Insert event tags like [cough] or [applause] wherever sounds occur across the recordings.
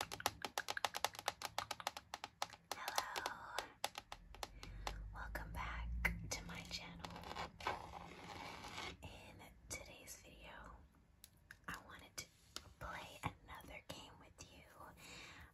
Hello. Welcome back to my channel. In today's video, I wanted to play another game with you.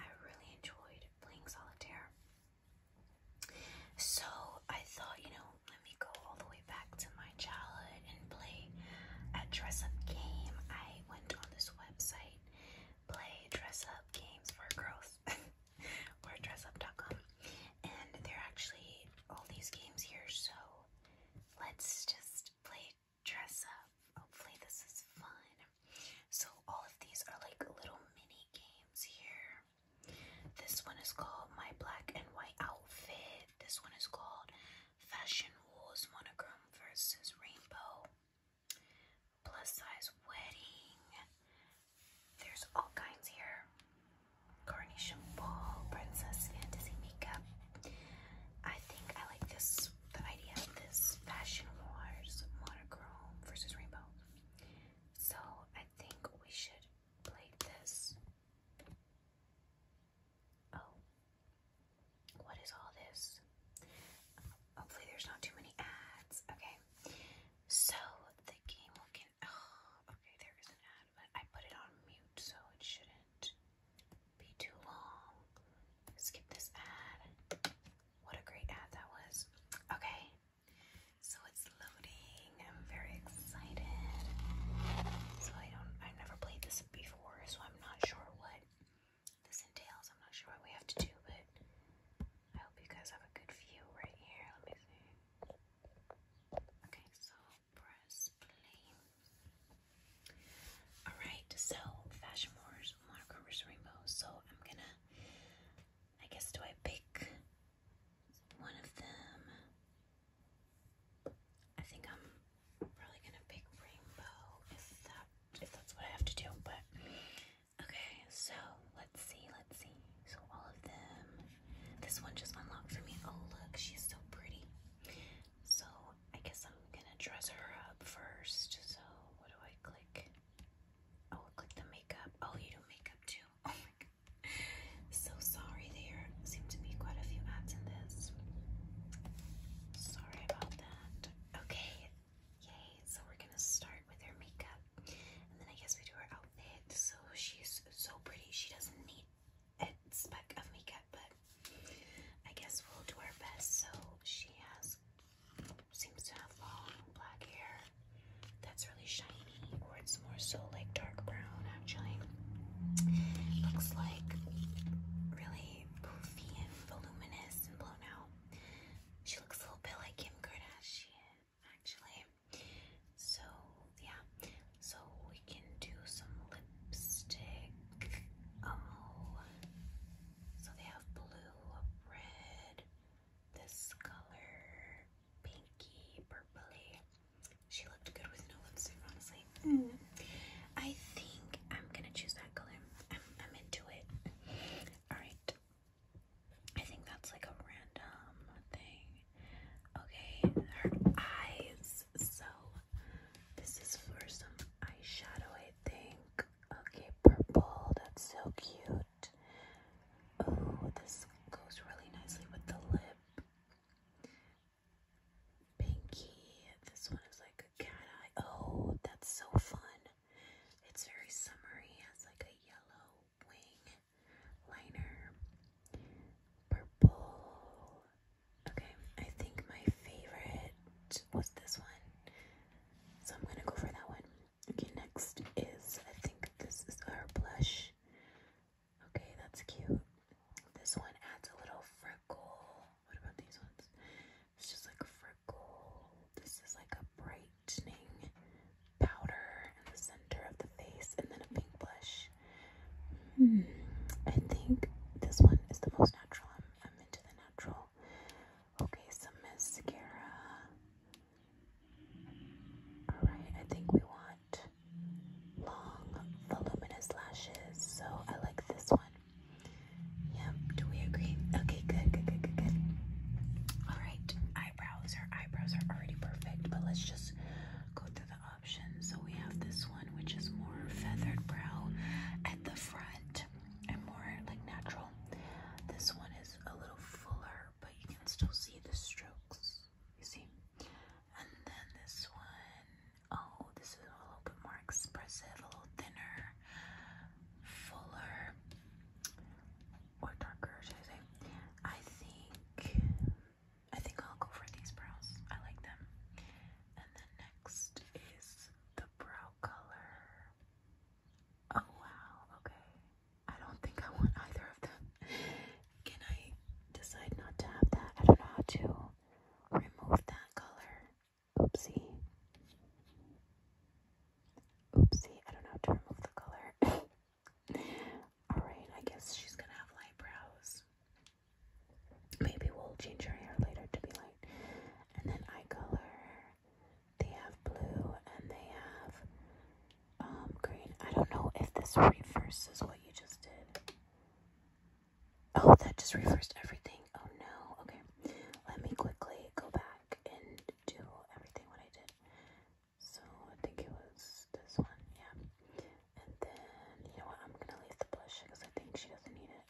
I really enjoyed playing solitaire. So, I thought, you know, let me go all the way back to my childhood and play a dress up game. I went on this website, play dress up games for girls [laughs] or dressup.com. And there are actually all these games here, so let's just play dress up. Hopefully, this is fun. So, all of these are like little mini games here. This one is called My Black and White Outfit. This one is called Fashion Wars Monochrome versus Rainbow. Plus size wedding. There's all kinds here. Carnation ball, princess fantasy makeup. I think I like this, the idea of this Fashion Wars monochrome versus rainbow. So I think we should play this. Oh. What is all this? Hopefully there's not too many ads. Okay. So the game will get oh, okay, there is an ad, but I put it on mute so it shouldn't be too long. Skip this ad. What a great ad that was. Okay. So it's loading. I'm very excited. So I don't I've never played this before, so I'm not sure what this entails. I'm not sure what we have to do, but I hope you guys have a good view right here. Let me see. Okay, so press play. Alright, so Fashion Wars Monochrome Rainbow. So I'm gonna, I guess, do I pick one of them? I think I'm probably gonna pick rainbow if that's what I have to do, but okay, so let's see, let's see. So all of them this one just unlocked for me. Oh look, she's so pretty. So I guess I'm gonna dress her up first. So what do I click? Oh click the makeup. Oh you do makeup too. [laughs] Oh my god. So sorry there seem to be quite a few ads in this. Sorry about that okay, yay. So we're gonna start with her makeup. And then I guess we do her outfit. So she's so pretty. She doesn't need a speck of makeup, but I guess we'll do our best. So she has seems to have long black hair that's really shiny, or it's more so like dark brown actually. Looks like really poofy and voluminous and blown out. She looks a little bit like Kim Kardashian, actually. So, yeah. So, we can do some lipstick. Oh. So, they have blue, red, this color, pinky, purpley. She looked good with no lipstick, honestly honestly. Mm, I think I'm gonna choose that color. I'm, I'm into it. Alright. I think that's like a random thing. Okay, her eyes. So, this is for some eyeshadow, I think. Okay, purple. That's so cute. Oh, this goes really nicely with the lip pinky. This one is like a cat eye. Oh, that's so fun. It's very summery. It Has like a yellow wing liner. Purple. Okay, I think my favorite was this one. So I'm gonna go for that one. Okay, next is I think this is our blush. Okay, that's cute. This one adds a little freckle what about these ones? It's just like for gold. This is like a brightening powder in the center of the face and then a pink blush. Hmm. I think this one is the most natural. I'm into the natural. Okay, some mascara. Alright, I think we want long voluminous lashes. So I like this one. Yep, do we agree? Okay, good, good, good, good, good. Alright, eyebrows. Our eyebrows are already perfect, but let's just go through the options. So we have this one, which is more feathered brow at the front and more like natural. This one is a little fuller, but you can still see the strokes. You see? And then this one Oh, this is a little bit more expressive, a little thinner, fuller, or darker, I I think I think I'll go for these brows. I like them. And then next is the brow color. Oh wow, okay. I don't think I want either of them. Can I decide not to have that? I don't know how to remove that color. Oopsie. Oopsie, I don't know how to remove the color. [laughs] Alright, I guess she's gonna have light brows. Maybe we'll change her hair later to be light. And then eye color. They have blue and they have um green. I don't know if this reverses what you just did. Oh, that just reversed everything. Oh no. Okay. Let me quickly go back and do everything what I did. So I think it was this one, yeah. And then you know what? I'm gonna leave the blush because I think she doesn't need it.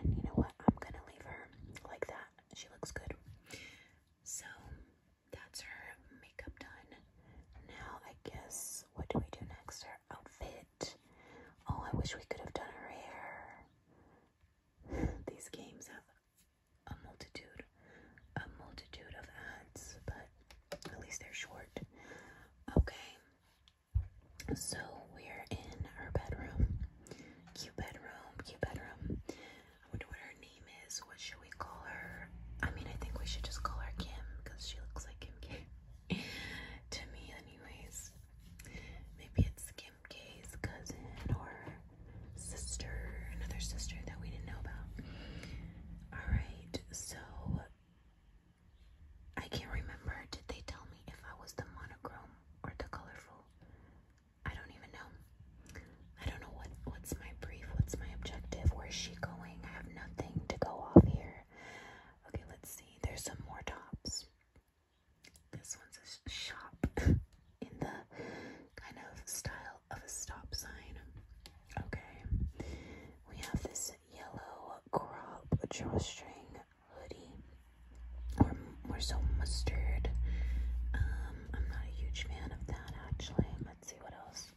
And you know what? I'm gonna leave her like that. She looks good. So that's her makeup done. Now I guess what do we do next? Her outfit. Oh, I wish we could have done her [laughs] hair. These games have a multitude, a multitude of ads, but at least they're short. Okay, so we're in her bedroom. Cute bedroom, cute bedroom. I wonder what her name is. What should we call her? I mean, I think we should just call her Kim because she looks like Kim K to me anyways. Maybe it's Kim K's cousin or sister, another sister that we didn't know about. Alright, so I can't remember. Did they tell me if I was the monochrome or the colorful? I don't even know. I don't know what what's my brief, what's my objective, where's she going? I have nothing to go off here. Okay, let's see. There's some more tops. This one's a shop [laughs] in the kind of style of a stop sign. Okay. We have this yellow crop drawstring hoodie. Or more so mustard. Um, I'm not a huge fan of that actually. Let's see what else.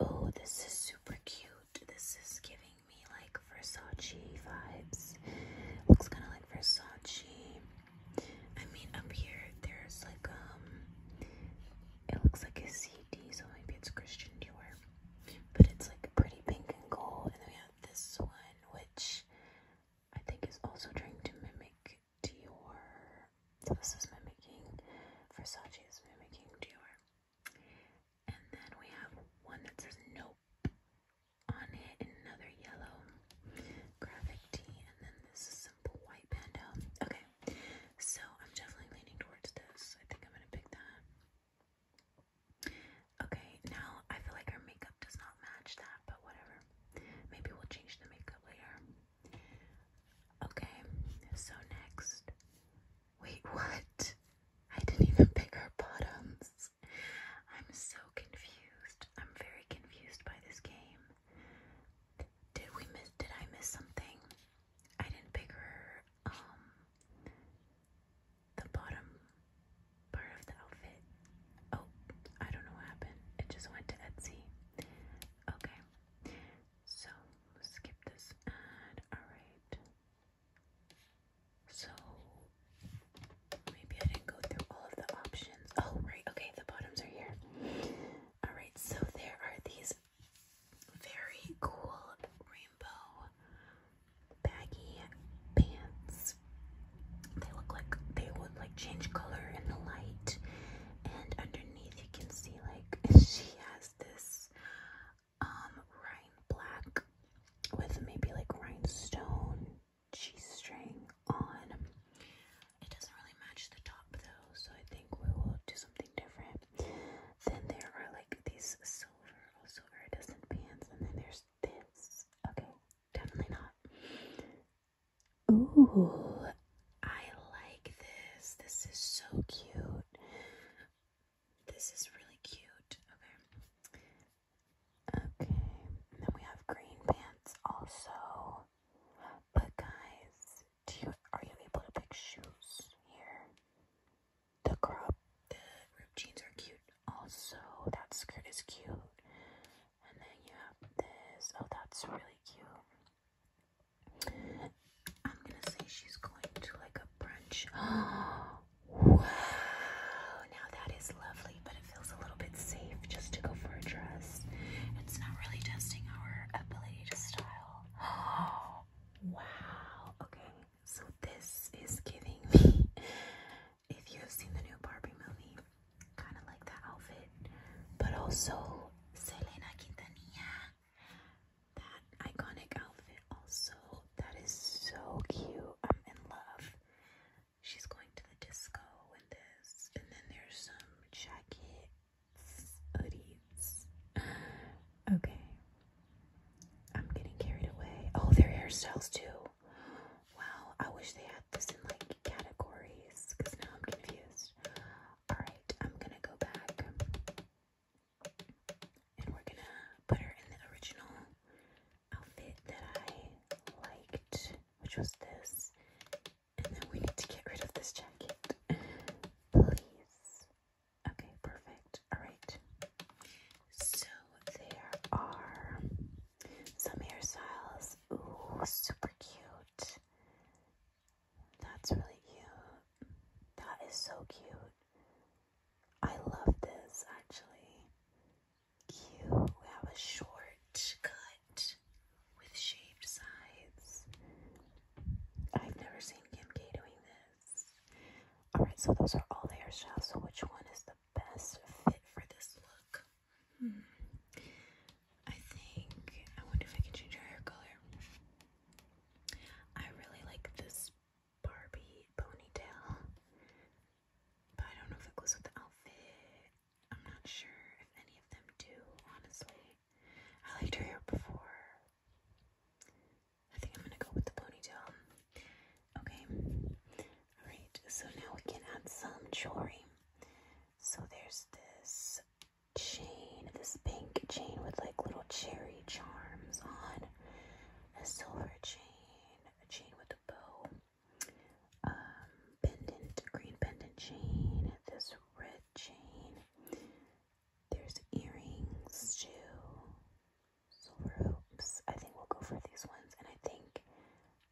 Oh, this is super cute. This is giving me like Versace vibes. Looks kind of like Versace. I mean, up here there's like um, it looks like a CD, so maybe it's Christian Dior, but it's like pretty pink and gold. And then we have this one, which I think is also trying to mimic Dior. So this is mimicking Versace is mimicking Dior. And then we have one that says nope on it, another yellow graphic tee, and then this simple white panda. Okay, so I'm definitely leaning towards this. I think I'm gonna pick that. Okay, now I feel like our makeup does not match that, but whatever. Maybe we'll change the makeup later. Okay, so next Wait, what? I didn't even pick our bottoms. I'm so confused. I'm very confused by this game. Did we miss did I miss something? I didn't pick her um the bottom part of the outfit. Oh, I don't know what happened. It just went to Etsy. Okay. So skip this ad. Alright. So maybe I didn't go through all of the options. Oh, right. Okay, the bottoms are here. All right, so there are these very cool rainbow baggy pants. They look like they would like change color in the light, and underneath you can see like [laughs] she has this um rhine black with maybe like rhinestone g-string on. It doesn't really match the top though, so I think we will do something different. Then there are like these silver, also oh, iridescent pants, and then there's this. Okay, definitely not. Ooh, I like this. This is so cute. This is really cute. Okay. Okay. And then we have green pants also. But guys, do you are you able to pick shoes here? The crop, the rope jeans are cute. Also, that skirt is cute. And then you have this. Oh, that's really cute. I'm gonna say she's going to like a brunch. [gasps] wow, now that is lovely, but it feels a little bit safe just to go for a dress. It's not really testing our ability to style. [gasps] wow, okay, so this is giving me, [laughs] if you have seen the new Barbie movie, kind of like that outfit, but also Selena Quintanilla that iconic outfit also. That is so cute. I'm in love. She's going to the disco in this. And then there's some jackets, hoodies. [sighs] Okay. I'm getting carried away. Oh, their hairstyles too. Wow, I wish they had this in like categories because now I'm confused. Alright, I'm gonna go back and we're gonna put her in the original outfit that I liked, which was this. And then we need to get rid of this jacket, please. Okay, perfect. All right. So there are some hairstyles. Ooh, super cute. That's really cute. That is so cute. I love this actually. Cute. We have a short cut with shaved sides. I've never seen Kim K doing this. Alright, so those are all the hairstyles. So, which one is the best fit for this look? Hmm. I think I wonder if I can change your hair color. I really like this Barbie ponytail. But I don't know if it goes with the outfit. I'm not sure if any of them do, honestly. I liked her hair before. I think I'm gonna go with the ponytail. Okay. Alright, so now we can add some jewelry. So there's this chain, this pink chain with like little cherry charms on a silver chain, a chain with a bow, um, pendant, green pendant chain, this red chain. There's earrings too, silver hoops. I think we'll go for these ones, and I think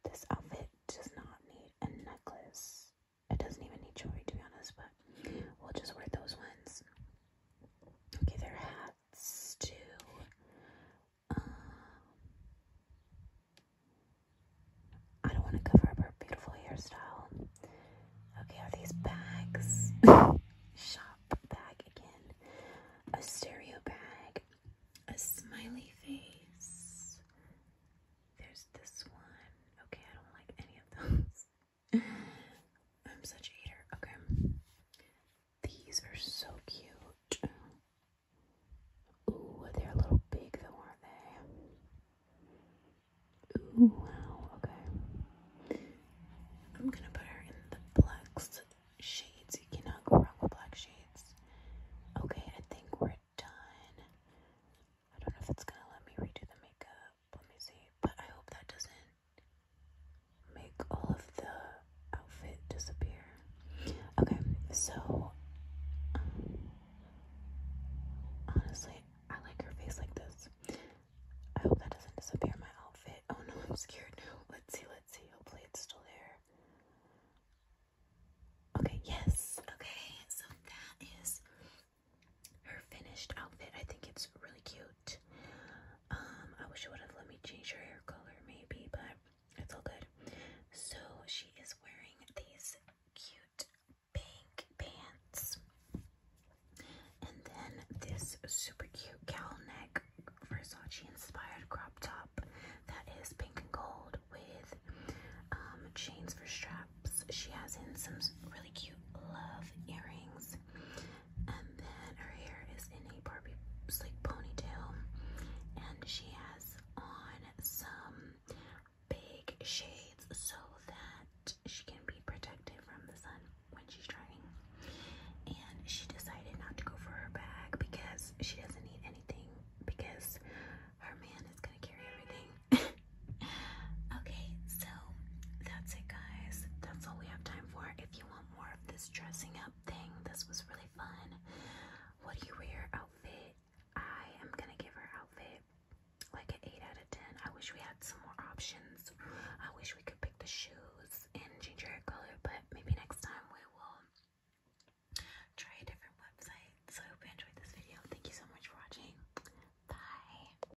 this outfit does not need a necklace. It doesn't even need jewelry to be honest, but we'll just wear those ones. Okay, their hats too. Um, I don't want to cover up her beautiful hairstyle. Okay, are these bags? [laughs] Shop bag again. A stereo bag. A smiley face. There's this one. Okay, I don't like any of those. [laughs] I'm such a eater. Okay. These are so cute. Ooh, they're a little big though, aren't they? Ooh, wow. Okay. I'm gonna put her in the blacks shades. You cannot go wrong with black shades. Okay, I think we're done. I don't know if it's gonna let me redo the makeup. Let me see. But I hope that doesn't make all of the outfit disappear. Okay, so um, honestly, I like her face like this. I hope that doesn't disappear my outfit. Oh no, I'm scared now. Let's see, let's see. Hopefully it's still there. Okay, yes. Okay, so that is her finished outfit. I think it's really cute. Um, I wish it would have let me change her hair color maybe, but it's all good. So she is wearing these cute pink pants. And then this super cute cowl neck Versace inspired crop top that is pink and gold with um, chains for straps. She has in some really cute love earrings and then her hair is in a Barbie like ponytail. And she has on some big shades so that she can be protected from the sun when she's driving. And she decided not to go for her bag because she doesn't need anything because her man is gonna carry everything. [laughs] Okay, so that's it, guys. That's all we have time for. If you want more of this dressing up thing, this was really fun. What do you wear outfit? I am gonna give her outfit like an 8 out of 10. I wish we had some more options. I wish we could pick the shoes and change her color, but maybe next time we will try a different website. So I hope you enjoyed this video. Thank you so much for watching. Bye.